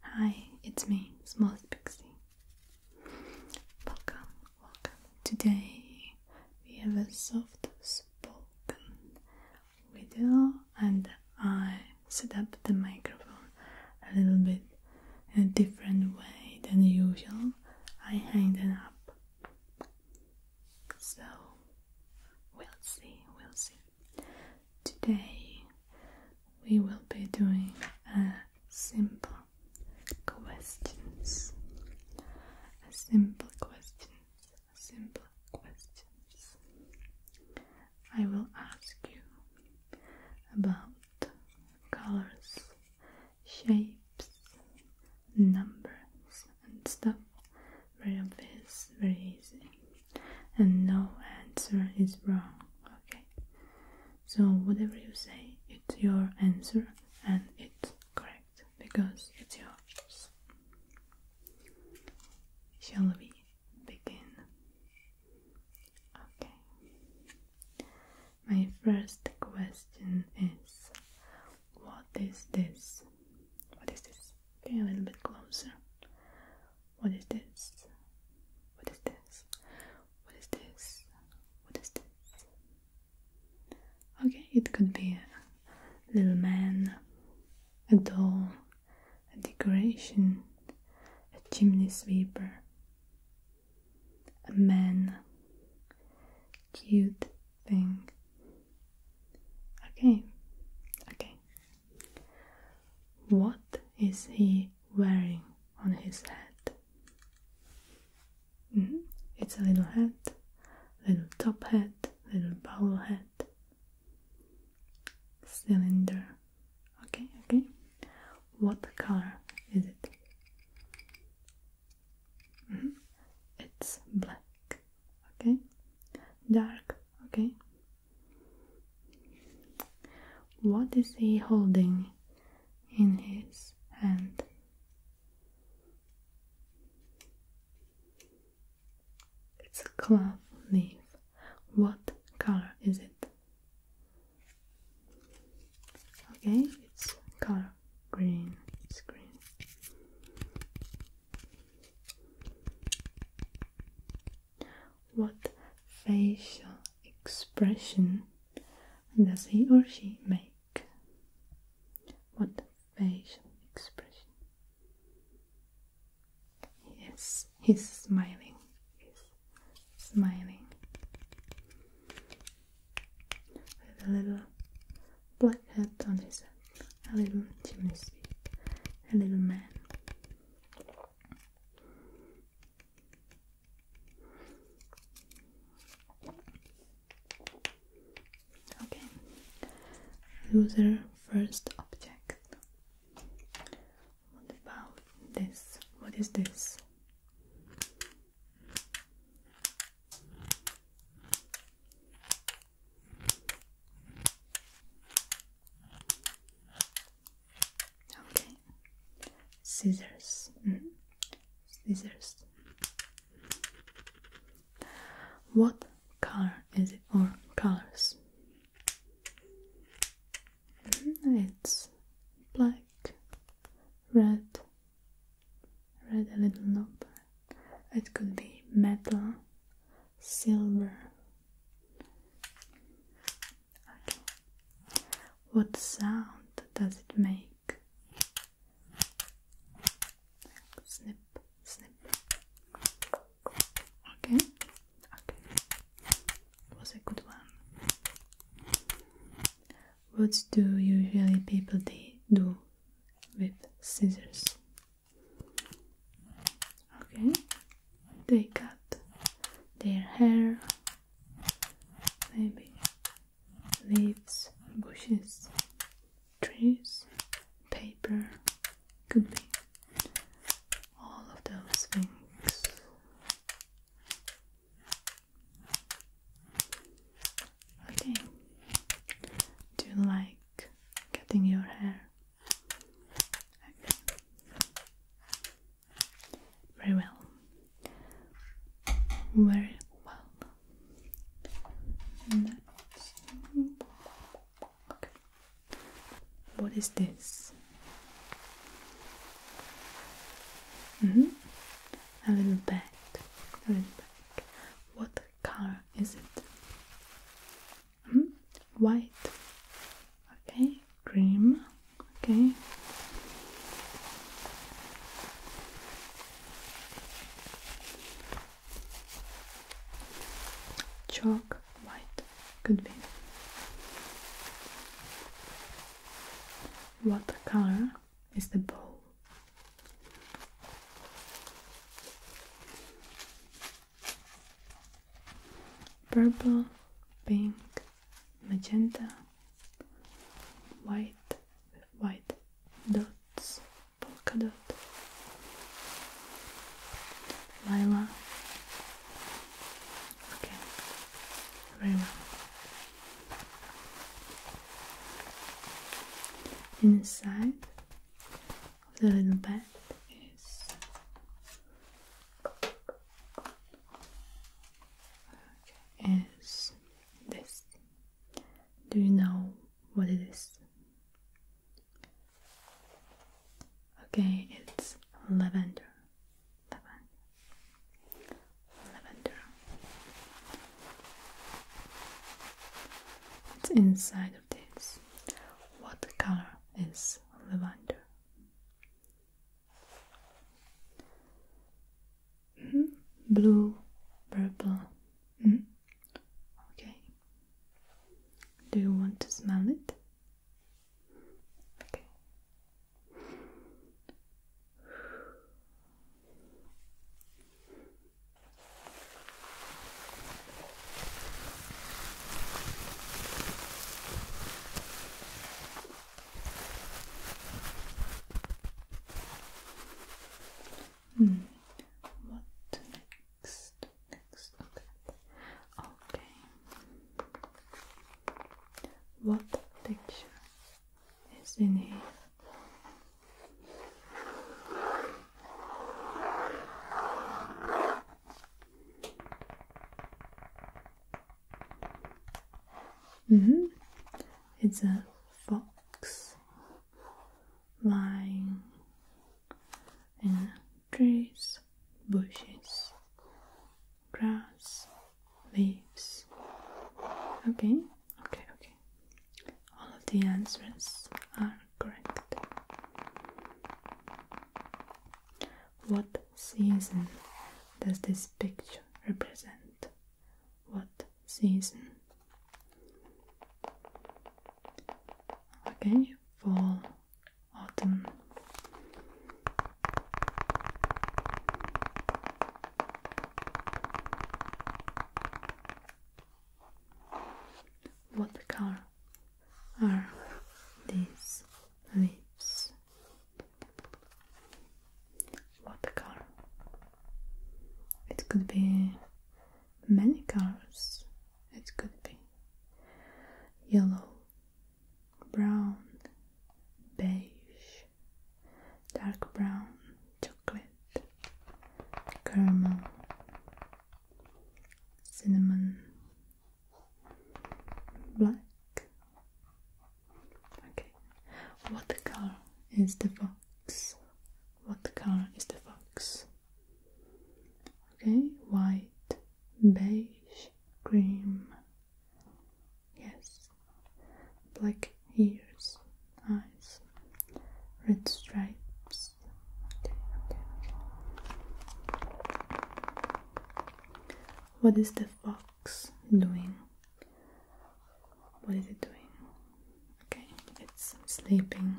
Hi, it's me, Smallest Pixie. Welcome, welcome. Today we have a soft spoken video, and I set up the microphone a little bit in a different way than usual. I hang them up. So we'll see, we'll see. Today we will be doing simple questions. simple questions. simple questions. I will ask you about colors, shapes, numbers and stuff. Very obvious, very easy and no answer is wrong. Okay, so whatever you say, it's your answer and it's correct because it's yours. Shall we begin? Okay, my first question is what is this? What is this? Okay, a little bit closer. What is this? What is this? What is this? What is this? Okay, it could be a little man, a doll, a decoration, a chimney sweeper, a man, cute thing. Okay, okay, what is he wearing on his head? Mm-hmm. It's a little hat, little top hat, little bowler hat, cylinder. Okay, okay. What color is it? Mm-hmm. It's black. Okay, dark. Okay, what is he holding in his hand? It's a clove leaf. What color is it? Okay, it's color green. It's green. What facial expression does he or she make? What facial expression? Yes, he's smiling. He's smiling. With a little black hat on his head, a little chimney sweep, a little man. Okay, loser first object. What about this? What is this? Okay. Scissors. Mm-hmm. Scissors. What color is it or colors? Mm-hmm. It's black, red, red a little knob. It could be metal, silver. What sound does it make? Snip, snip. Okay. Okay. Was a good one. What do usually people do with scissors? okay they cut their hair maybe leaves bushes trees paper could be all of those things okay do you like cutting your hair very well. Very well. Okay. What is this? -hmm. A little bag. A little bag. What color is it? -hmm. White. Okay, cream. Okay. Chalk white could be. What color is the bowl? Purple, pink, magenta, white white dots, polka dot, lila. Okay, very well. Inside of the little bed is is this. Do you know what it is? Okay, it's lavender. Lavender. Lavender. It's inside of this. What color is lavender? -hmm. Blue, purple. -hmm. Okay. Do you want to smell it? Okay. Hmm. What next? Next. Okay. Okay. What texture is in here? Mm-hmm. It's a fox lying in trees, bushes, grass, leaves. Okay, okay, okay. All of the answers are correct. What season does this picture represent? What season? Okay, fall, autumn. What color are these leaves? What color? It could be many colors. It could be yellow, brown, beige, dark brown, chocolate, caramel, cinnamon, black. Okay. What color is the fox? What color is the fox? Okay, white, beige, cream. Yes. Black ears, eyes, red stripes. Okay, okay, What is the Box doing? What is it doing? Okay, it's sleeping.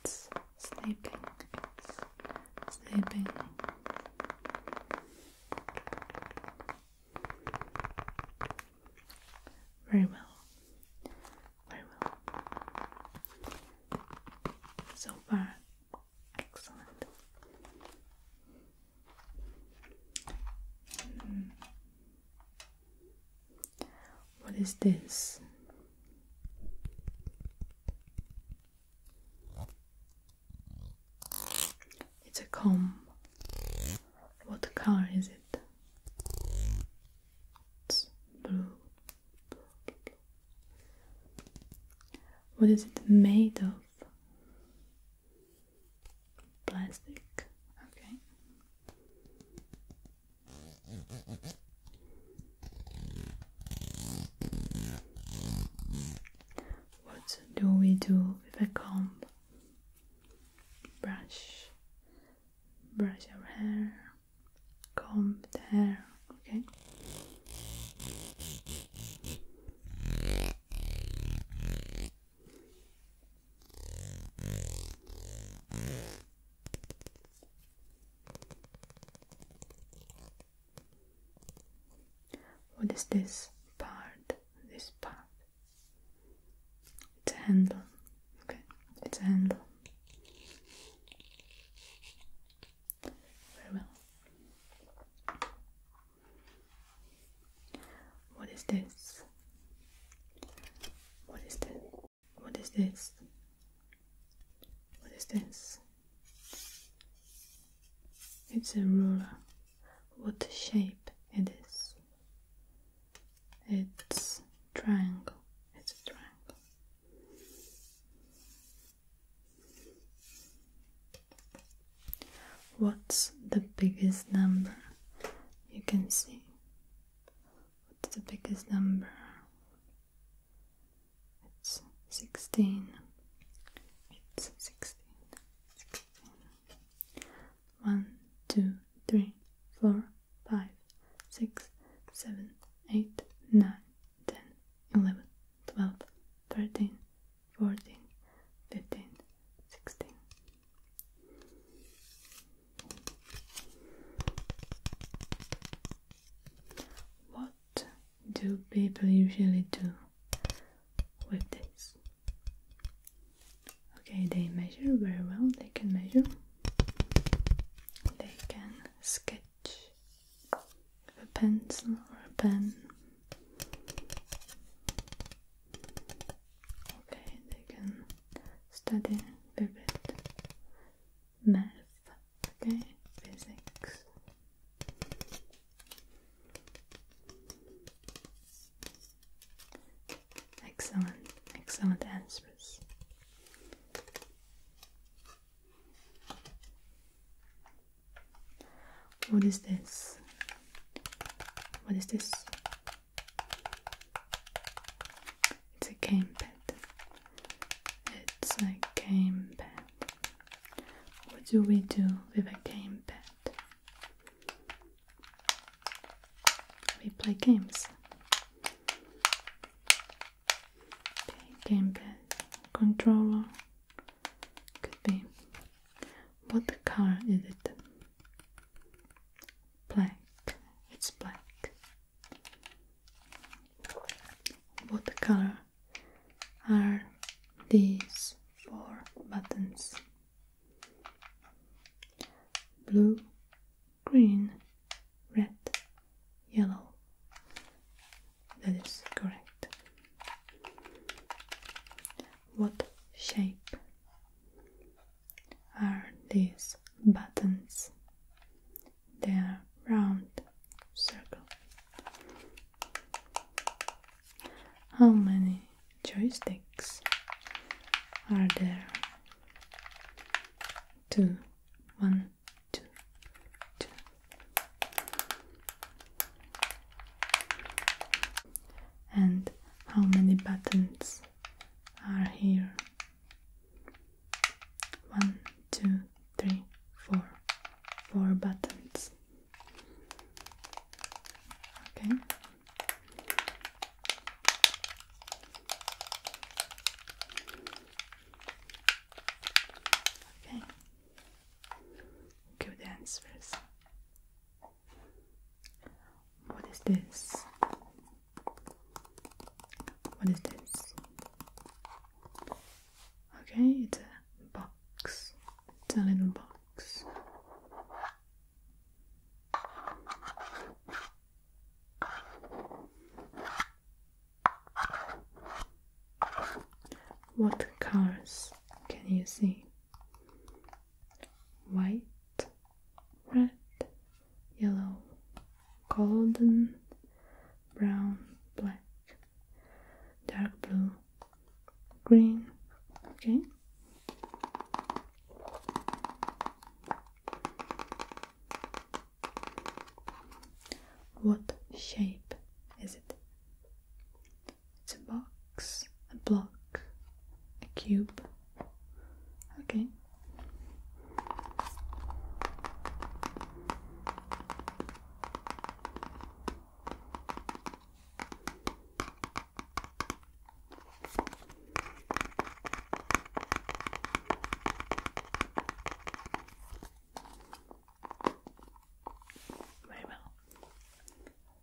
It's sleeping. It's sleeping. Very well. Very well. So far, Excellent. Hmm. What is this? It's a comb. What color is it? It's blue, what is it made of? Plastic. Okay. What do we do with a comb? Brush, brush our hair, comb the hair okay? What is this part? This part? It's a handle. Okay, it's a handle. Very well. What is this? What is this? What is this? What is this? It's a ruler. What shape it is? It's triangle. It's a triangle. What's the biggest number you can see? What's the biggest number? It's 16. It's 16. 16. 1, 2, 3, 4, 5, 6, 7, 8, 9, 10, 11, 12, 13, 14, 15, 16. What do people usually do with this? Okay, they measure very well, they can measure, they can sketch with a pencil or a pen. Okay, they can study a bit math, okay, physics. Excellent, excellent answers. What is this? What is this? It's a game pad. It's a game pad. What do we do with a game pad? We play games. game pad, controller. Could be. What color is it? Black. It's black. What color are these four buttons? Blue, green, red, yellow. That is correct. What shape are these buttons? They are round circle. How many joysticks are there? Two, one, two, two. And how many buttons are here? One, two, three, four. Four buttons. Okay. Okay good answers. What is this? What is this? Okay, it's a box. It's a little box. What colors can you see? White, red, yellow, golden, brown, black, dark blue, green. Okay. What shape is it? It's a box, a block, a cube. Okay. Very well.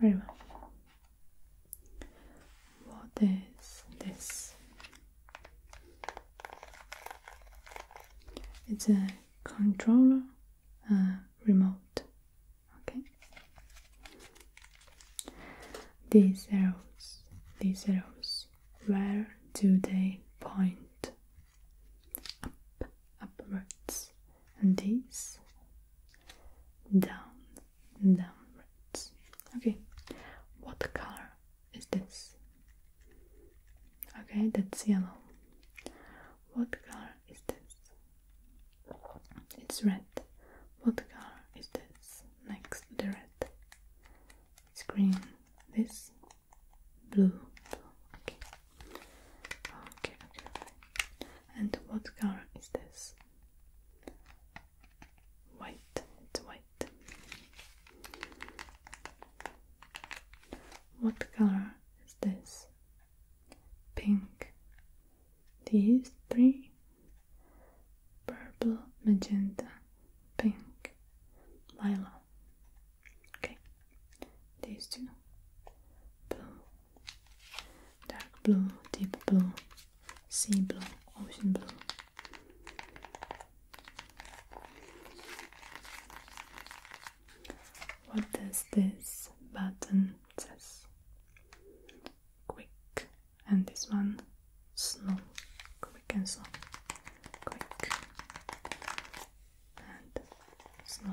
Very well. What is this? It's a controller uh, remote. Okay. These arrows, these arrows, where do they point? up, upwards, and this down, downwards. Okay, what color is this? Okay, that's yellow. What color is this? It's red. What color is this? Next to the red. It's green. This Blue, okay. Okay, okay. And what color is this? White. It's white. What color is this? Pink. These three. Purple, magenta, pink, lilac. Okay, these two blue, dark blue, deep blue, sea blue, ocean blue. What does this button says? Quick, and this one slow, quick and slow, quick and slow,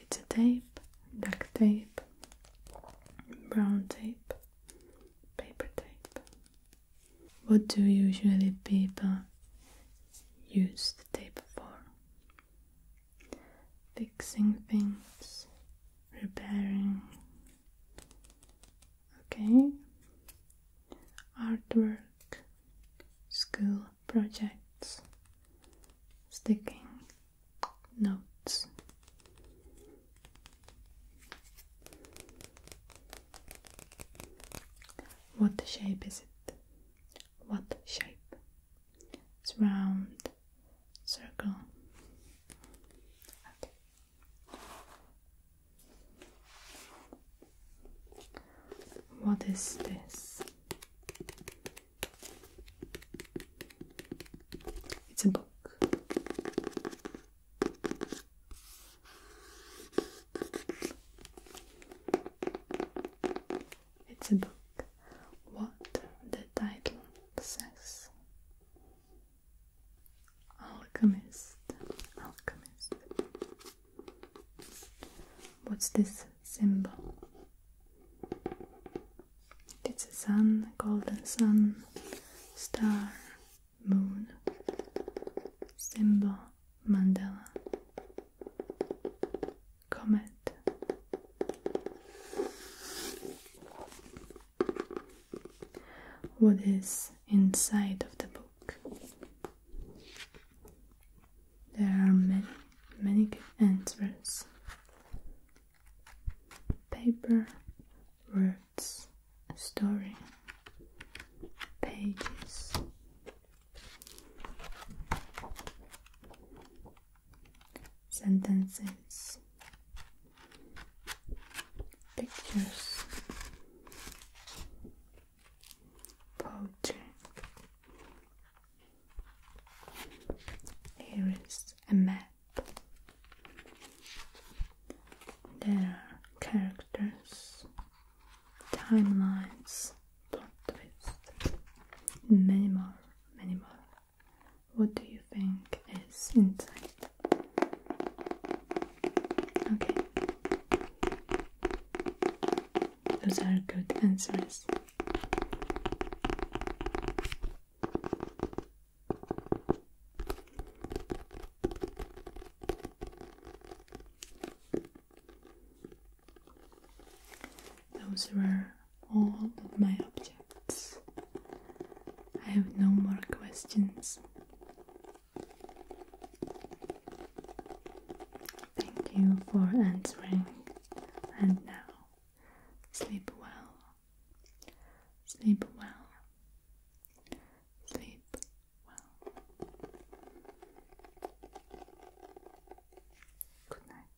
It's a tape, duct tape, brown tape, paper tape. What do usually people use the tape for? Fixing things, repairing. Okay. Artwork, school projects, sticking notes. What shape is it? What shape? It's round, circle. What is this? It's a book. It's a book. What the title says. Alchemist. Alchemist. What's this symbol? It's a sun, golden sun, star, moon, symbol, mandala, comet. What is inside of the book? There are many, many answers paper, words, story, pages. Sentences, pictures, poetry, here is a map. There are characters, timelines, plot twists, many more, many more. What do you think is inside? Okay. Those are good answers. Those were all of my objects. I have no more questions. Thank you for answering, and now Sleep well. Sleep well. Sleep well. Good night.